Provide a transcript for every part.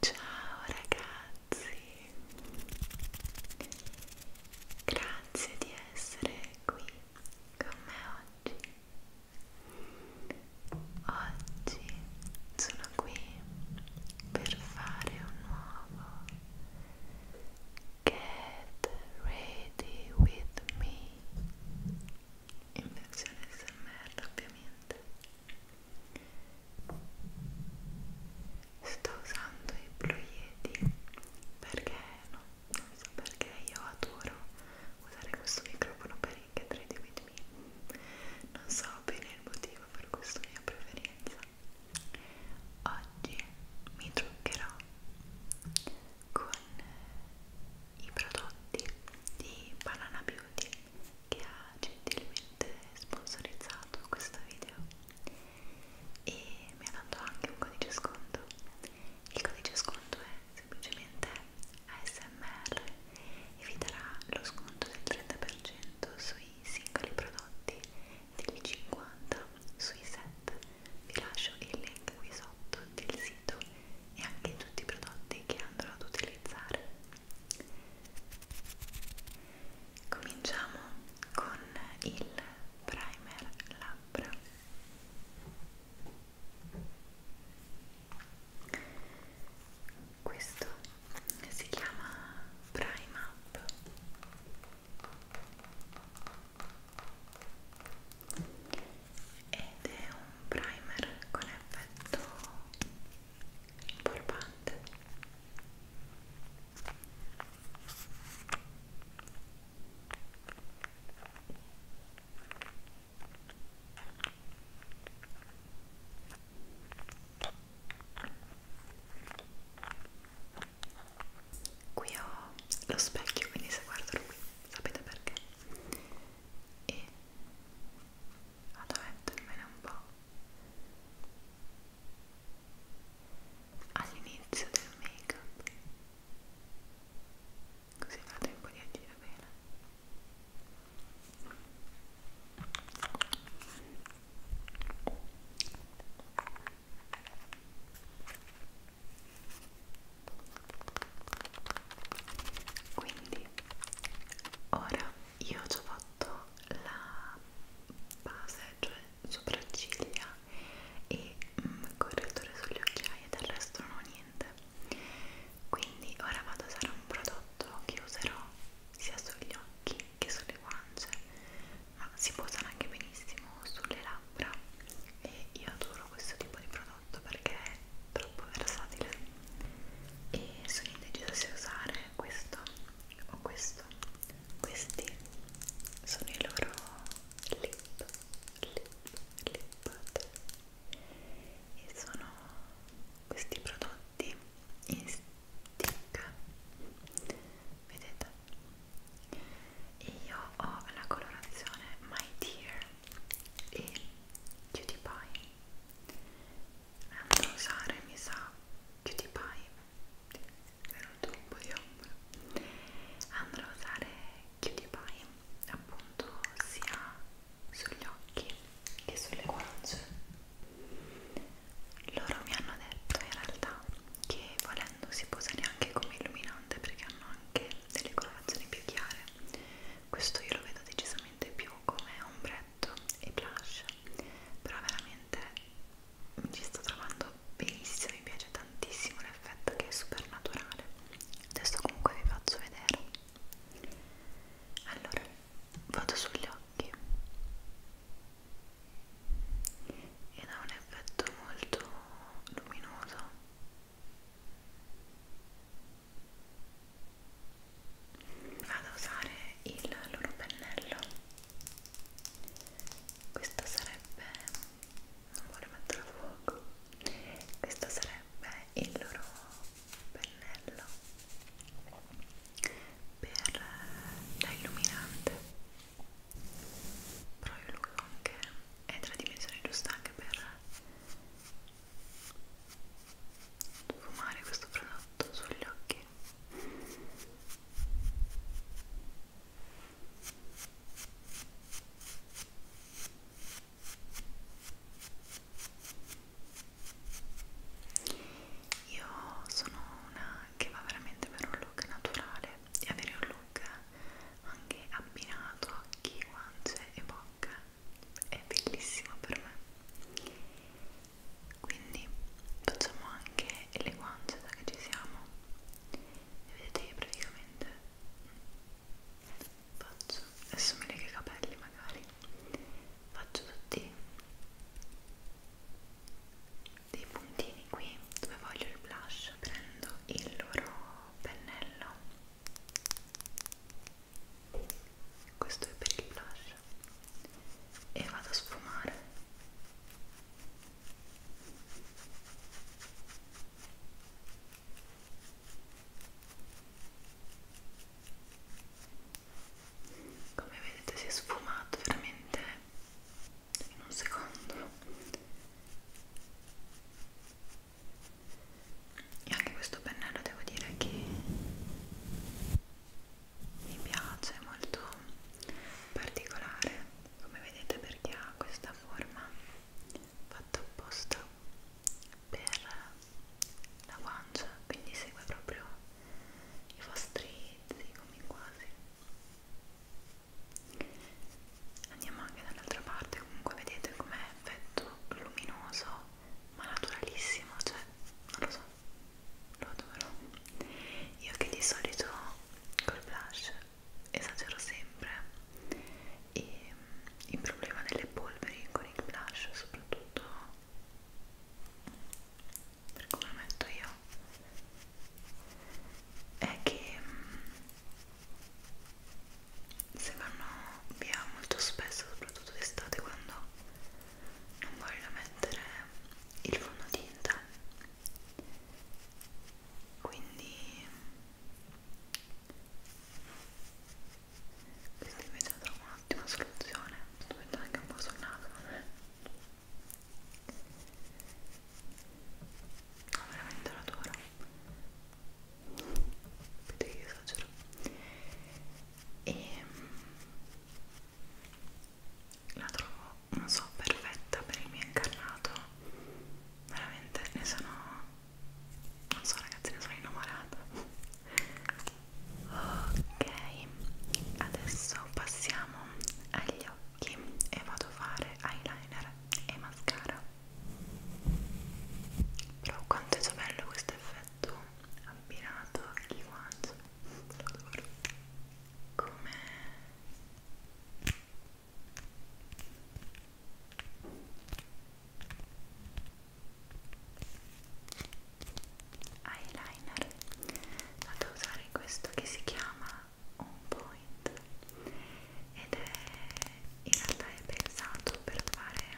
Ciao ragazzi, grazie di essere qui con me oggi. Oggi sono qui per fare un nuovo Get Ready With Me in versione smr ovviamente sto usando i Blue Yeti perché no, non so perché io adoro usare questo microfono per il Get Ready With Me non so bene il motivo per questa mia preferenza oggi mi truccherò con i prodotti di Banana Beauty che ha gentilmente sponsorizzato questo video e mi ha dato anche un codice sconto il codice sconto è semplicemente ASMR e vi darà lo sconto del 30% sui singoli prodotti del 50% sui set vi lascio il link qui sotto del sito e anche tutti i prodotti che andrò ad utilizzare. Cominciamo con il primer labbra. Questo si chiama Prime Up ed è un primer con effetto importante Qui ho lo specchio, quindi se guardo qui sapete perché e vado a mettermene un po' all'inizio del make up così fa tempo di agire bene quindi ora io ho già fatto la base cioè sopracciglia e mm, correttore sulle occhiaie del resto non ho niente quindi ora vado a usare un prodotto che userò sia sugli occhi che sulle guance ma si può usare anche benissimo sulle labbra e io adoro questo tipo di prodotto perché troppo versatile e sono indecisa se usare questo o questo questi sono i loro lip lip lip butter e sono questi prodotti in stick vedete e io ho la colorazione My Dear e cutie pie andrò a usare mi sa cutie pie è venuto un po' di ombra andrò a usare cutie pie appunto sia sugli occhi che sulle guance loro mi hanno detto in realtà che volendo si può usare anche come illuminante perché hanno anche delle colorazioni più chiare questo io lo vedo decisamente più come ombretto e blush però veramente mi ci sto trovando benissimo mi piace tantissimo l'effetto che è super naturale adesso comunque vi faccio vedere allora vado sugli occhi ed ha un effetto molto luminoso vado a usare il loro pennello questo sarebbe non voglio mettere a fuoco questo sarebbe il loro pennello per da illuminante però io lo uso anche è tra dimensioni giusta anche per sfumare questo prodotto sugli occhi io sono una che va veramente per un look naturale e avere un look anche abbinato occhi, guance e bocca è bellissima per me quindi facciamo anche le guance da che ci siamo e vedete io praticamente faccio adesso mi lega i capelli magari faccio tutti dei puntini qui dove voglio il blush prendo il loro pennello questo è per il blush e vado a sfumare come vedete si è sfumato veramente in un secondo e anche questo pennello devo dire che mi piace è molto particolare come vedete perché ha questa forma fatta apposta per la guancia quindi segue proprio i vostri zigomi quasi andiamo anche dall'altra parte comunque vedete com'è effetto luminoso ma naturalissimo, cioè non lo so, lo adoro. Io che di solito col blush esagero sempre e mm, il problema delle polveri con il blush soprattutto per come lo metto io è che mm, se vanno via molto spesso soprattutto d'estate quando non voglio mettere il fondotinta quindi questa invece è un'ottima soluzione sto mettendo anche un po' sul naso no, veramente l'adoro vedete che esagero e ehm, la trovo non so perfetta per il mio incarnato veramente ne sono non so ragazzi ne sono innamorata ok adesso passiamo agli occhi e vado a fare eyeliner e mascara però quanto è già bello questo effetto abbinato al guanto lo adoro come eyeliner vado a usare questo che si chiama On Point ed è in realtà è pensato per fare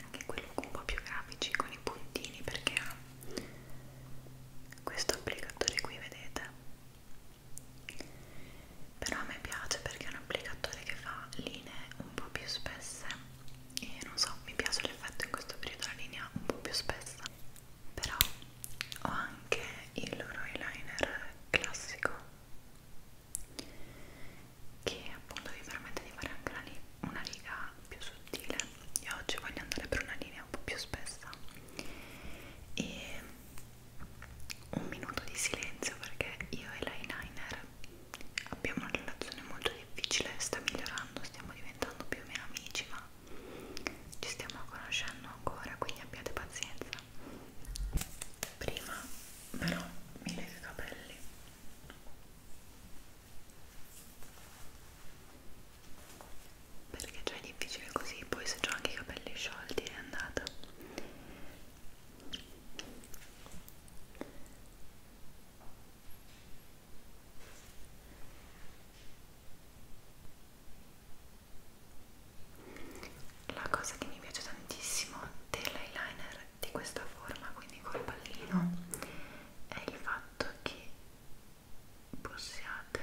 anche quello un po' più grafici con i puntini perché ha questo applicatore qui vedete però a me piace perché è un applicatore che fa linee un po' più spesse e non so, mi piace l'effetto in questo periodo la linea un po' più spessa però ho anche il loro eyeliner classico che appunto vi permette di fare anche una, una riga più sottile io oggi voglio andare per una linea un po' più spessa e un minuto di silenzio perché io e l'eyeliner abbiamo una relazione molto difficile sta migliorando, stiamo diventando più o meno amici ma ci stiamo conoscendo ancora quindi abbiate pazienza prima però mi lega i capelli perché già è difficile così poi se ho anche i capelli sciolti è andata la cosa che mi piace tantissimo dell'eyeliner di questa forma, quindi col pallino, è il fatto che possiate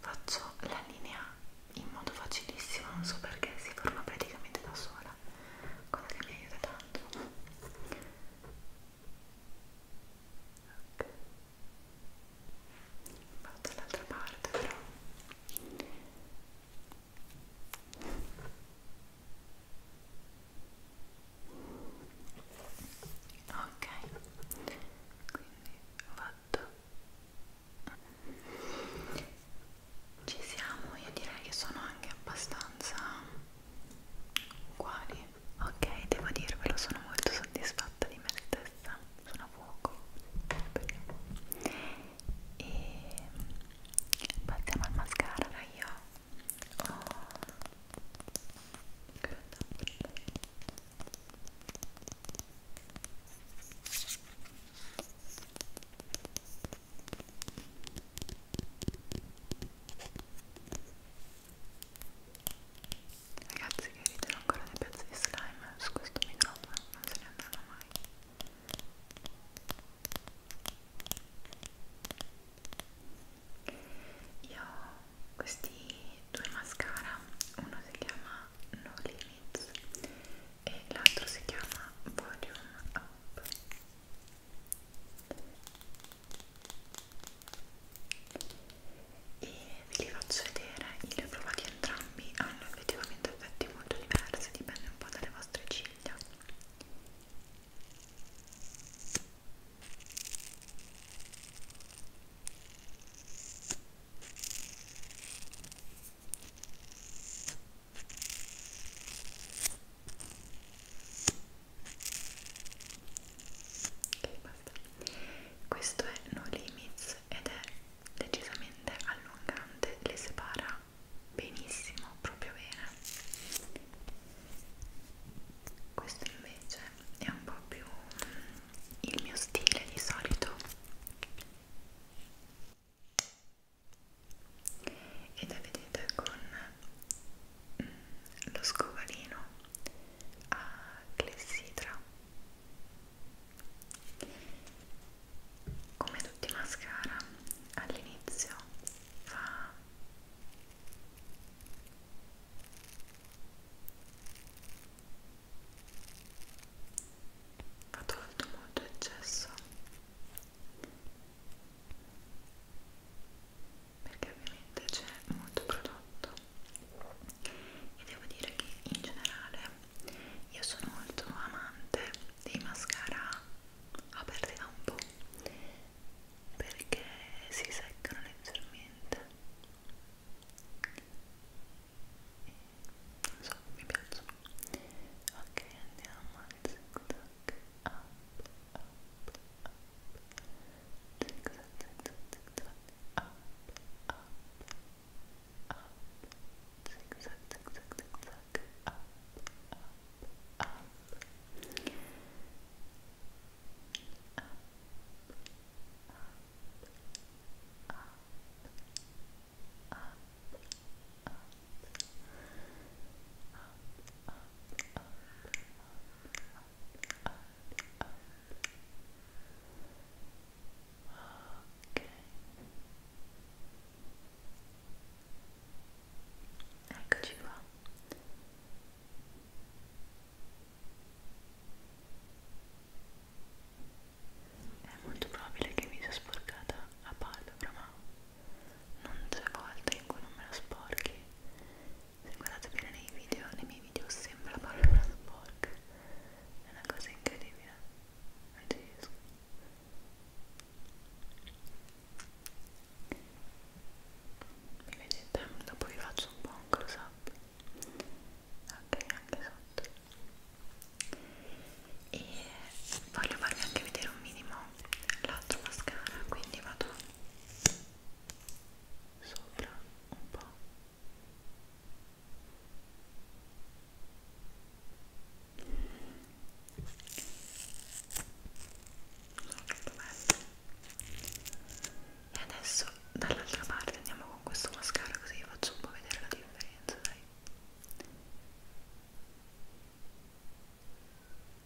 faccio la linea in modo facilissimo, non so perché si forma praticamente da sola, cosa che mi aiuta tanto. Okay. Vado dall'altra parte però ok quindi ho fatto ci siamo io direi che sono anche abbastanza uguali ok devo dirvelo sono molto soddisfatta di me stessa sono a fuoco e passiamo al mascara allora io ho Ragazzi che ridono ancora dei pezzi di slime su questo microfono, non se ne andranno mai io ho questi due mascara, uno si chiama No Limits e l'altro si chiama Volume Up. E ve li faccio vedere, io li ho provati entrambi, hanno effettivamente effetti molto diversi, dipende un po' dalle vostre ciglia. Ok, basta. Questo è No Limits ed è decisamente allungante le separa benissimo proprio bene questo invece è un po' più mm, il mio stile di solito ed è vedete con mm, lo scovalino a clessidra come tutti i mascara all'inizio fa ha tolto molto eccesso perché ovviamente c'è molto prodotto e devo dire che in generale io sono molto amante dei mascara aperti da un po' perché si seccano leggermente non so, mi piacciono ok, andiamo al zig zag up, up, up zig zag, zig zag, zig zag up, up, up, zigzag, zigzag, zigzag, up, up, up, up, up, up, up, up, up, up, up, up. Okay. Eccoci qua. È molto probabile che mi sia sporcata la palpebra, ma non c'è volta in cui non me la sporchi. Se guardate bene nei video, nei miei video sembra la palpebra sporca. È una cosa incredibile. Non ci riesco mi vedete? dopo vi faccio un po' un close up ok anche sotto e voglio farvi anche vedere un minimo l'altro mascara quindi vado sopra un po' E adesso dall'altra parte andiamo con questo mascara così vi faccio un po' vedere la differenza, dai.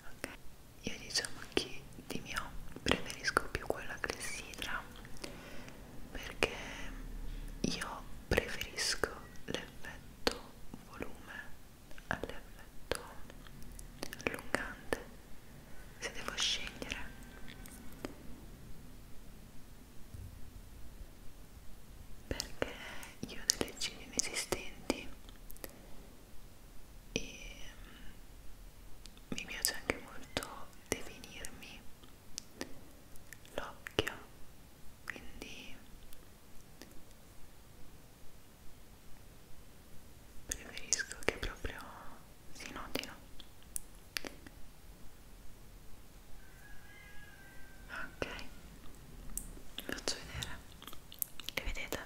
Ok, io diciamo che di mio preferisco più quella che sidra perché io preferisco le all'effetto volume, all'effetto allungante, se devo scegliere perché io ho delle ciglia inesistenti e mm, mi piace anche molto definirmi l'occhio quindi preferisco che proprio si notino ok vi faccio vedere le vedete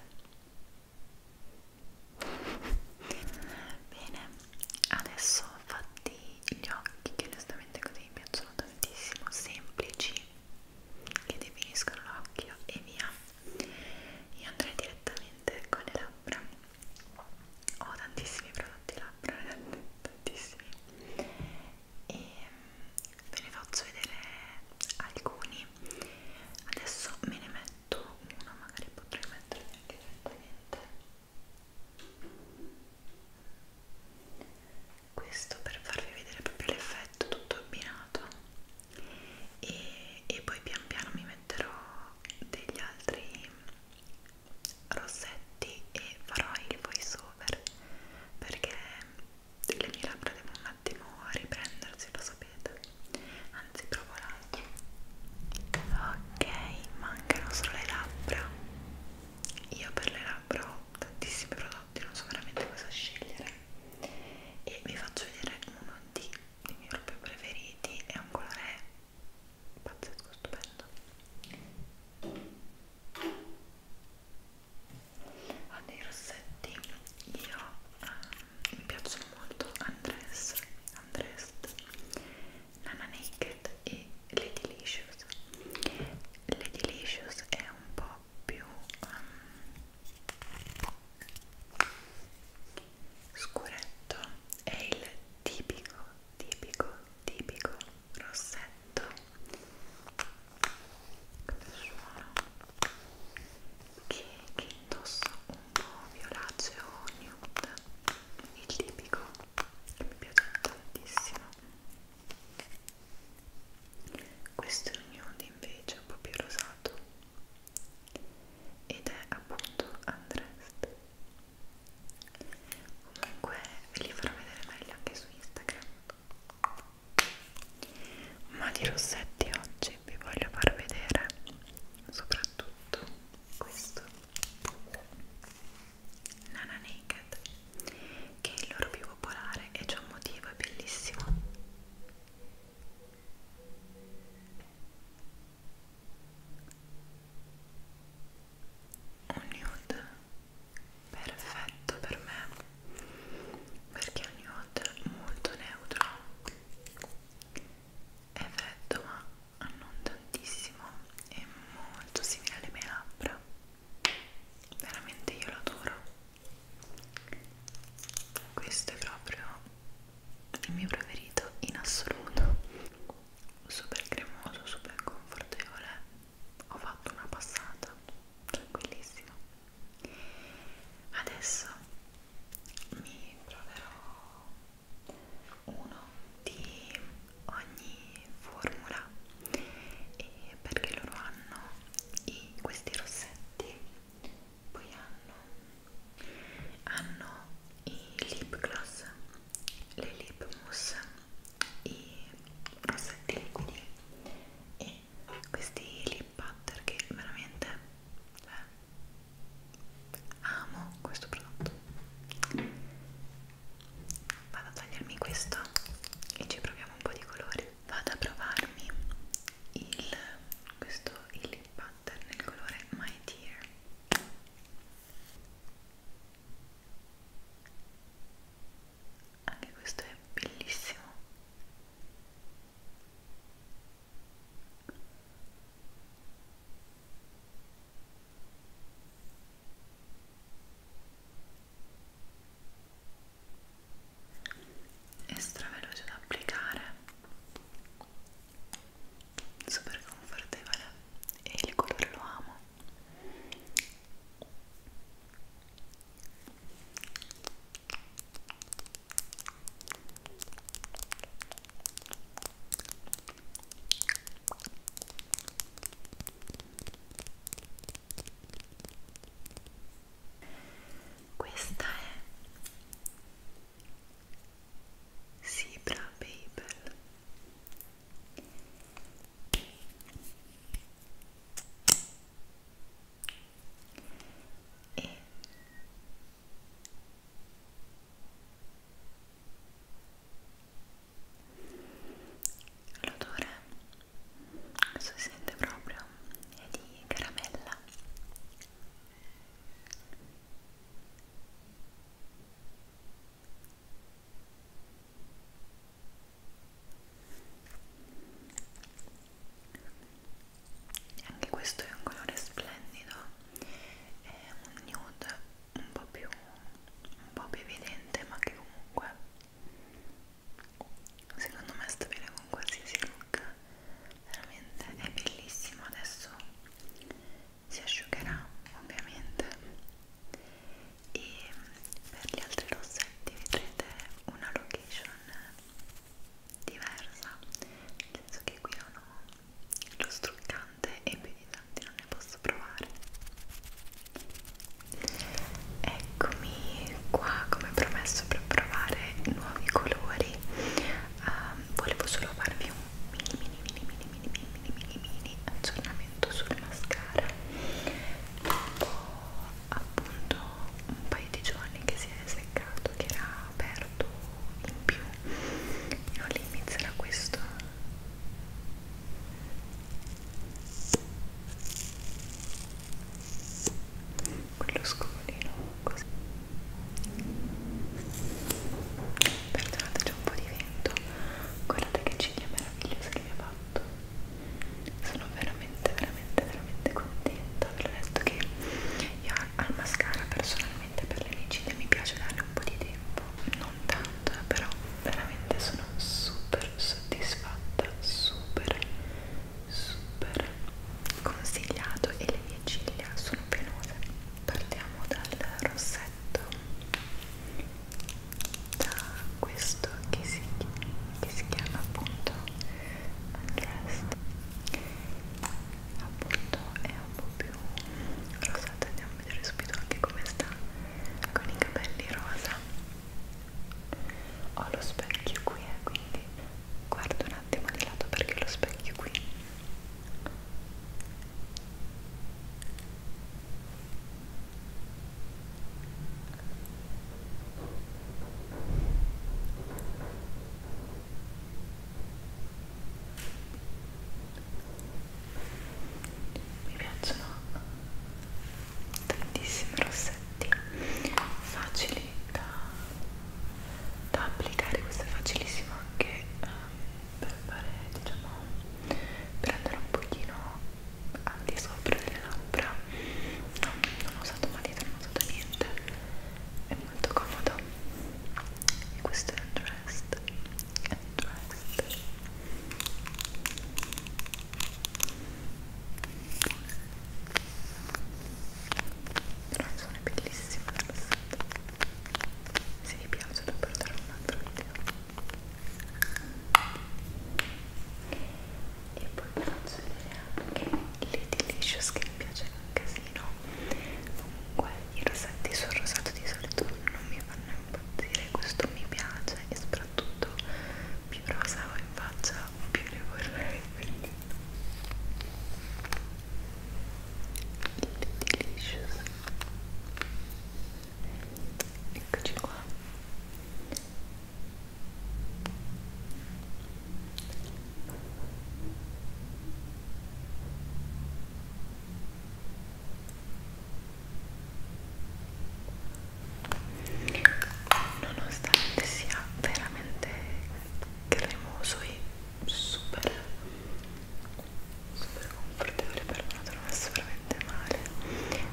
bene adesso fatti gli occhi che onestamente così mi piacciono tantissimo semplici che definiscono l'occhio e via io andrei direttamente con le labbra ho tantissimi prodotti labbra tantissimi e mm, ve ne faccio vedere alcuni adesso me ne metto uno magari potrei mettermi anche direttamente questo per farvi vedere proprio l'effetto tutto abbinato e, e poi pian piano mi metterò degli altri rossetti e farò il voice over perché le mie labbra devono un attimo riprendersi lo sapete anzi provo l'altro ok mancano solo le labbra io per le labbra ho tantissimi prodotti, non so veramente cosa scegliere e vi faccio vedere uno di, dei miei propri preferiti è un colore pazzesco, stupendo ha dei rossetti io um, mi piacciono molto Undressed, Undressed Nana Naked e le Delicious le Delicious è un po' più um, scuretto è il tipico tipico tipico rossetto come suono che, che indosso un po' violaceo nude il tipico che mi piace tantissimo questo è un nude invece un po' più rosato ed è appunto undressed comunque ve li farò vedere meglio anche su Instagram ma di rossetti oggi vi voglio far vedere soprattutto questo Nana Naked che è il loro più popolare e c'è un motivo, è bellissimo un nude perfetto per me perché è un nude molto neutro è freddo ma non tantissimo è molto simile alle mie labbra veramente io lo adoro questo è proprio il mio preferito in assoluto super cremoso super confortevole ho fatto una passata tranquillissimo adesso mi proverò uno di ogni formula e perché loro hanno i, questi rossetti poi hanno, hanno i lip gloss le lip mousse i rossetti liquidi e questi lip butter che veramente cioè, amo questo prodotto vado a togliermi questo e ci proviamo un po' di colori vado a provarmi il questo il lip pattern nel colore My Dear anche questo è bellissimo è straveloce da applicare super confortevole e il colore lo amo questa è Sibra Babel e l'odore si sente proprio è di caramella anche questo è un colore splendido è un nude un po' più un po' più evidente ma che comunque secondo me sta bene con qualsiasi look veramente è bellissimo adesso si asciugherà ovviamente e per gli altri rossetti vedrete una location diversa nel senso che qui non ho lo struccante e più di tanti non ne posso provare Eccomi qua come promesso per provare nuovi colori. Um, volevo solo farvi un mini mini mini mini mini mini mini mini aggiornamento sul mascara. Dopo appunto un paio di giorni che si è seccato, che era aperto in più, io all'inizio era questo quello scovolino così perdonate c'è un po' di vento guardate che ciglia meravigliosa che mi ha fatto sono veramente veramente veramente contenta ve l'ho detto che io al mascara personalmente per le mie ciglia mi piace darle un po' di tempo non tanto eh, però veramente sono super soddisfatta, super, super consigliato e le mie ciglia sono penose. Partiamo dal rossetto, da questo che si, che si chiama appunto Undressed, appunto è un po' più rosato, andiamo a vedere subito anche come sta con i capelli rosa ho lo specchio qui eh, quindi guardo un attimo di lato perché lo specchio qui mi piacciono tantissimi rossetti facili da, da applicare questo è facilissimo anche um, per fare diciamo per andare un pochino al di sopra delle labbra no, non ho usato matita, non ho usato niente è molto comodo e questo è un dress, è un dress però sono bellissimo se vi piace dovrò dare un altro video e poi vi faccio vedere anche le delicious che mi piace un casino comunque i rosetti sul rosato di solito non mi fanno impazzire questo mi piace e soprattutto soprattutto più rosa ho in faccia più ne vorrei quindi delicious eccoci qua nonostante sia veramente cremoso e super super confortevole per me non è veramente male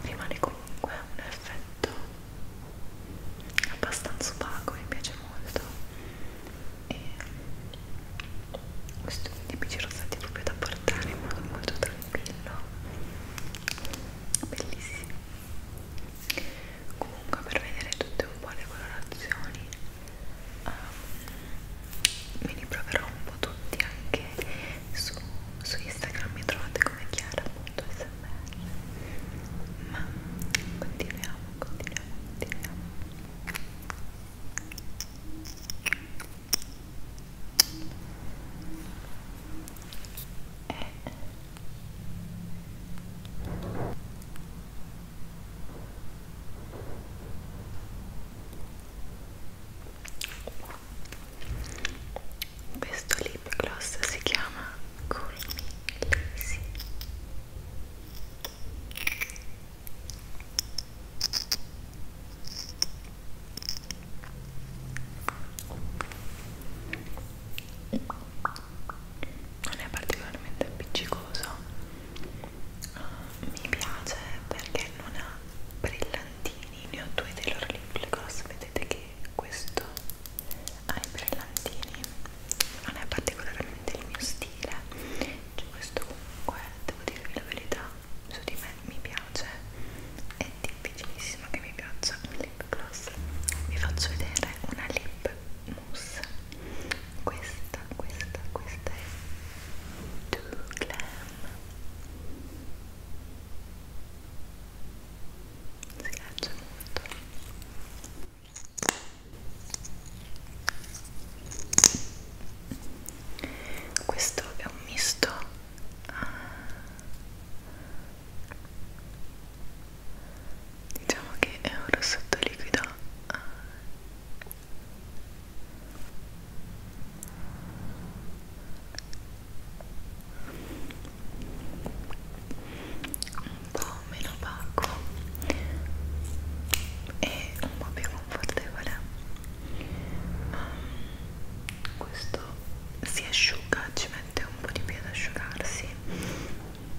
rimane comunque un effetto abbastanza opaco mi piace molto e questi tipici rosati proprio da portare in modo molto tranquillo bellissimi comunque per vedere tutte un po' le colorazioni um, me li proverò un po' tutti anche su, su Instagram mi trovate come chiara.smr ma continuiamo continuiamo continuiamo e eh. questo lip gloss si chiama Call Me Lazy non è particolarmente appiccicoso mi piace perché non ha brillantini ne ho due dei loro lip gloss vedete che questo ha i brillantini non è particolarmente il mio stile cioè, questo comunque devo dirvi la verità su di me mi piace è difficilissimo che mi piaccia un lip lip gloss vi faccio vedere una lip mousse questa, questa, questa è Do Glam si piace molto questo è un misto diciamo che è un rossetto liquido un po' meno opaco e un po' più confortevole um, questo si asciuga, ci mette un po' di più ad asciugarsi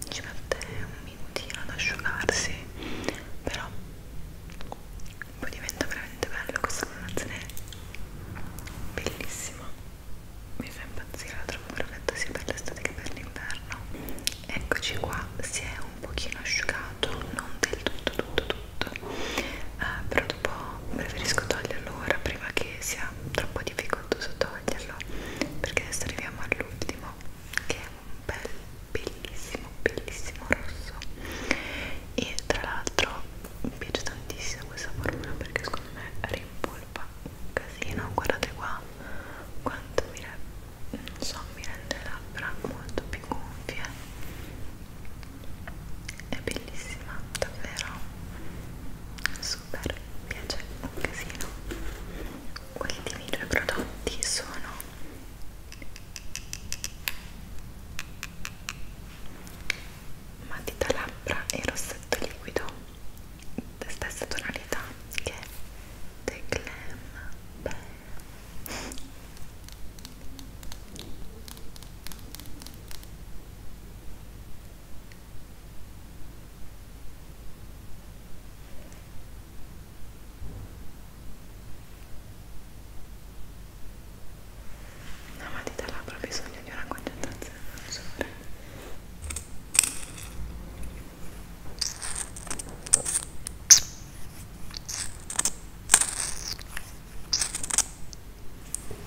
ci mette un minutino ad asciugarsi però poi diventa veramente bello questa colorazione bellissima mi fa impazzire, la trovo perfetta sia per l'estate che per l'inverno eccoci qua, si è un pochino asciugato non del tutto tutto tutto eh, però dopo preferisco toglierlo ora prima che sia troppo difficoltoso toglierlo perché adesso arriviamo all'ultimo che è un bel bellissimo bellissimo rosso e tra l'altro mi piace tantissimo questa formula perché secondo me rimpolpa un casino guardate qua quanto mi, non so, mi rende le labbra molto più gonfie è bellissima, davvero super, mi piace un casino gli ultimi due prodotti sono matita labbra e rossetto liquido stessa tonalità che The Glam Beh. La matita labbra ha bisogno di una concentrazione maggiore.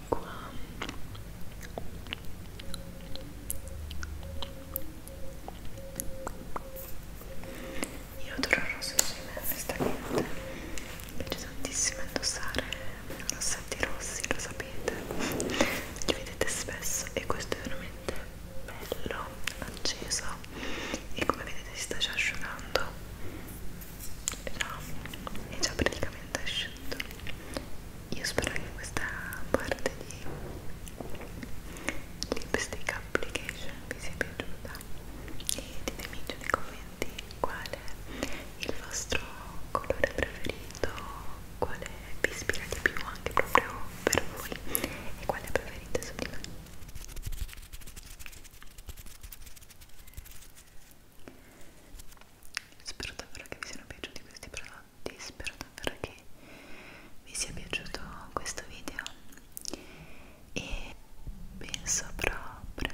acqua io adoro il rosso insieme a questa niente mi piace tantissimo indossare rossetti rossi lo sapete li vedete spesso e questo è veramente bello acceso e come vedete si sta già asciugando è già praticamente asciutto io spero che questa parte di lipstick application vi sia piaciuta e ditemi giù nei commenti qual è il vostro colore preferito quale vi ispira di più anche proprio per voi e quale preferite su di me Spero davvero che vi siano piaciuti questi prodotti, spero davvero che vi sia piaciuto questo video e penso proprio,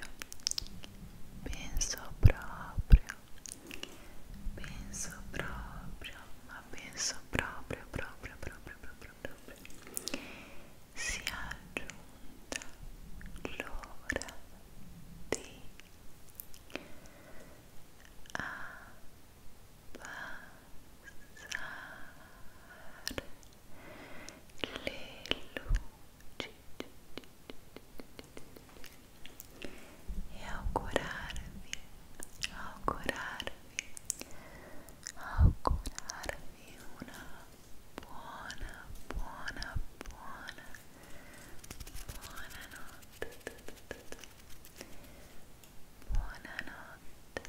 penso proprio, penso proprio, ma penso proprio, proprio, proprio, proprio, proprio, sia giunta l'ora di a passar le luci e augurarvi, augurarvi, augurarvi una buona, buona, buona Buonanotte. Buonanotte.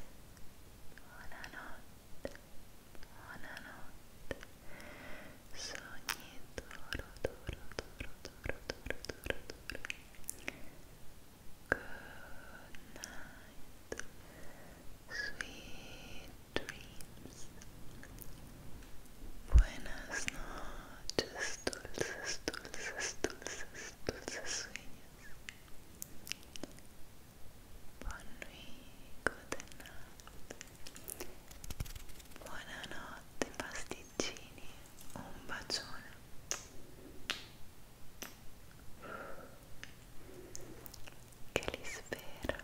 Buonanotte. Buonanotte. Sogni duro, duro, duro, duro, night. Sweet dreams. Buenas noches, dulces, dulces, dulces, dulces sueños. Bonui, good night. Buonanotte pasticcini, un bacione. Che li spero.